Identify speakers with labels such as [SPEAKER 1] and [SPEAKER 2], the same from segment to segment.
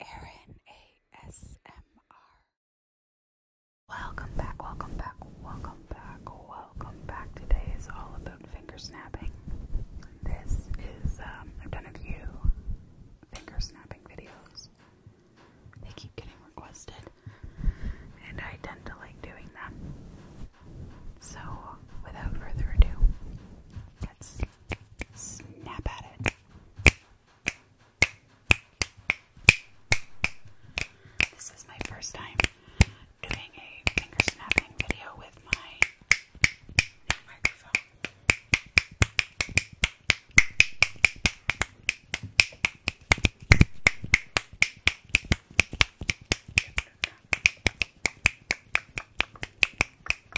[SPEAKER 1] Aaron ASMR. Welcome back, welcome back, welcome back, welcome back. Today is all about finger snapping. This is, um, I've done a few finger snapping videos. They keep getting requested, and I tend to like doing them. So, without further ado, let's snap at it. This is my first time doing a finger snapping video with my new microphone.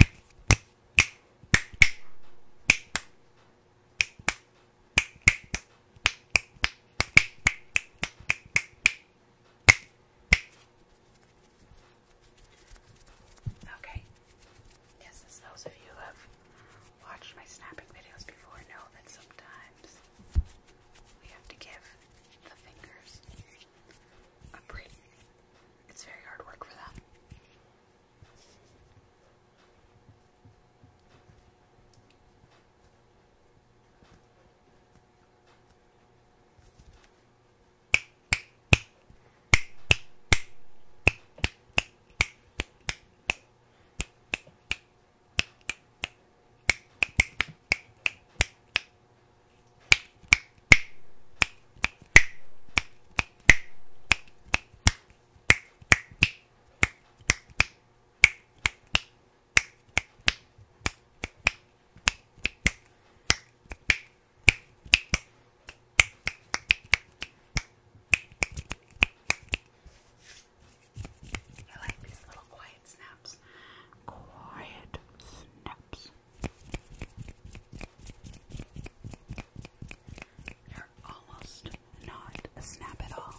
[SPEAKER 1] Okay. Yes, as those of you who have watched my snapping videos before know that sometimes we have to give the fingers I'm It's very hard work for them. I like these little quiet snaps. Quiet snaps. They're almost not a snap at all.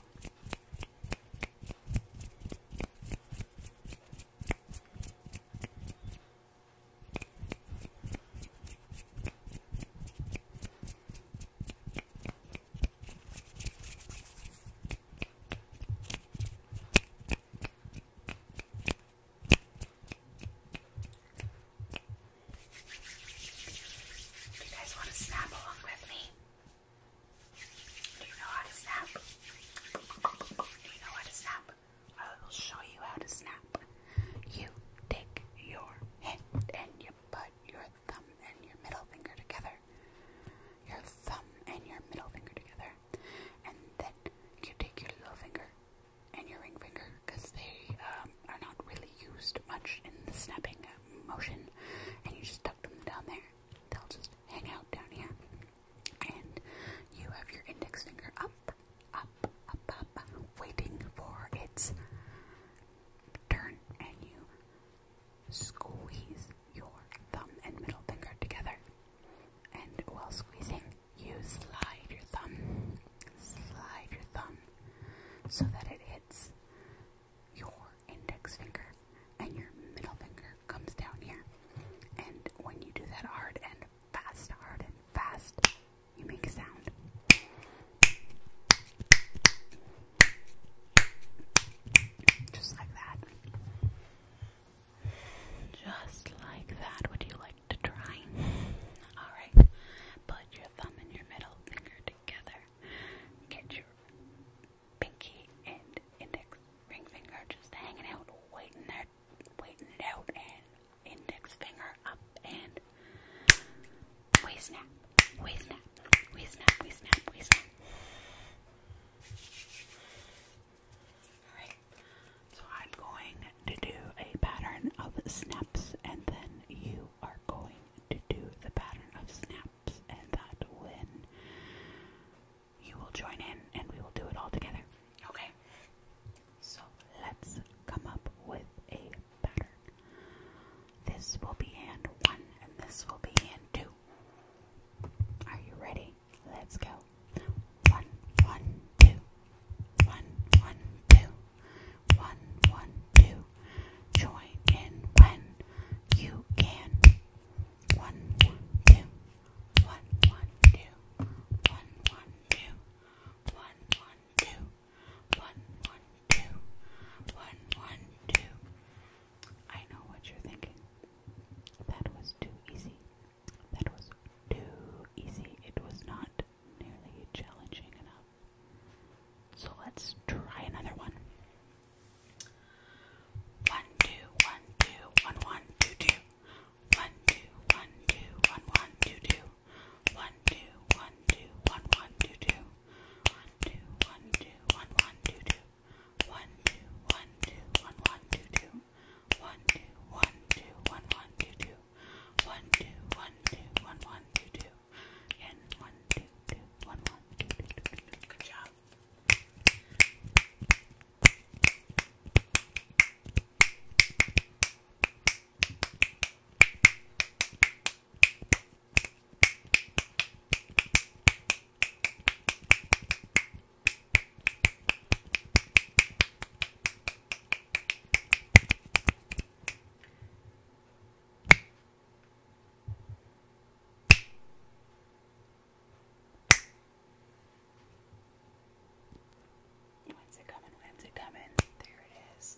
[SPEAKER 1] Do you guys want to snap along with me? Do you know how to snap? Do you know how to snap? I will show you how to snap. You take your hand and you put your thumb and your middle finger together. Your thumb and your middle finger together and then you take your little finger and your ring finger because they um, are not really used much in the snapping motion, and you just tuck them down there. They'll just hang out down here, and you have your index finger up, up, up, up, up waiting for its turn, and you squeeze your thumb and middle finger together. And while squeezing, you slide your thumb, slide your thumb so that it hits your index finger and your middle finger comes down here. And when you do that hard and fast, hard and fast, you make a sound. Just like that. Just like that. Would you like to try? Alright. Put your thumb and your middle finger together. Get your pinky and index ring finger just hanging out, waiting there, waiting out, and index finger up and we snap, we snap, we snap, we snap, we snap. Alright, so I'm going to do a pattern of snaps, and then you are going to do the pattern of snaps, and that when you will join in and we will do it all together. Okay? So let's come up with a pattern. This will be hand one, and this will be hand two. Are you ready? Let's go. One, one, two. One, one, two. One, one, two. Join in when you can. One, one, two. One, one, two. One, one, two. One, one, two. One, one, two. One, one, two. I know what you're thinking. That was too easy. That was too easy. It was not nearly challenging enough. So let's try another one. One, two, one, two, one, one, two, two. One, two, one, two, one, one, two, two. One, two, one, two, one, one, two, two. One, two, one, two, one, one, two, two. One, two, one, two, one, one, two, two. One, two, one, two, one, one, two, two. One, two, one, two, one, one, two, two. And one, two, two, one, one, two, two, two, two. Good job. Good When's it coming? When's it coming? There it is.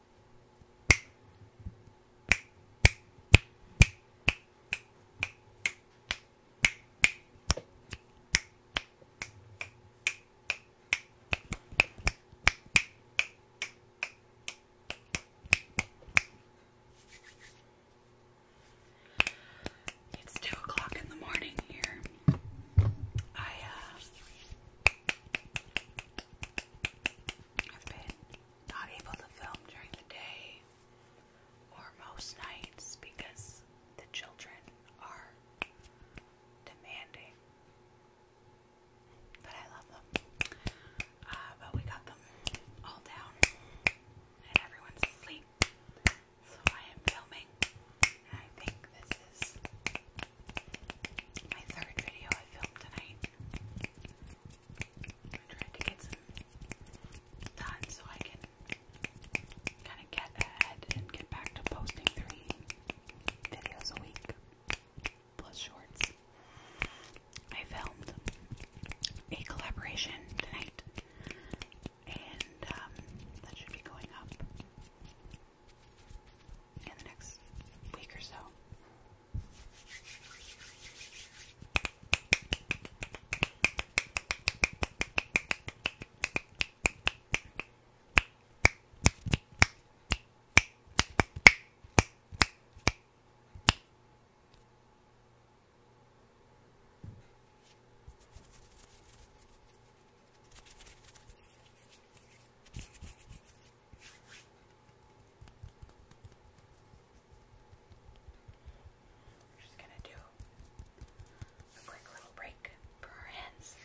[SPEAKER 1] It's two o'clock in the morning here. I uh I've been not able to film during the day or most nights because the children are demanding. But I love them. Uh, but we got them all down and everyone's asleep. So I am filming. And I think this is my third video I filmed tonight. I to get some done so I can kind of get ahead and get back to posting three videos a week plus shorts. I filmed a collaboration tonight, and um, that should be going up in the next week or so. We're just going to do a quick little break for our hands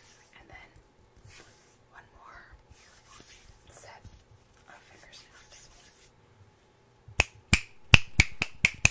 [SPEAKER 1] and then one more set of finger snaps. Good.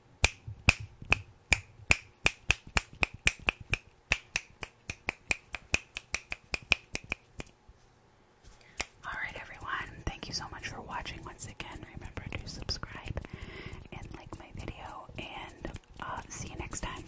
[SPEAKER 1] Alright, everyone, thank you so much for watching once again. Remember to subscribe and like my video, and uh, see you next time.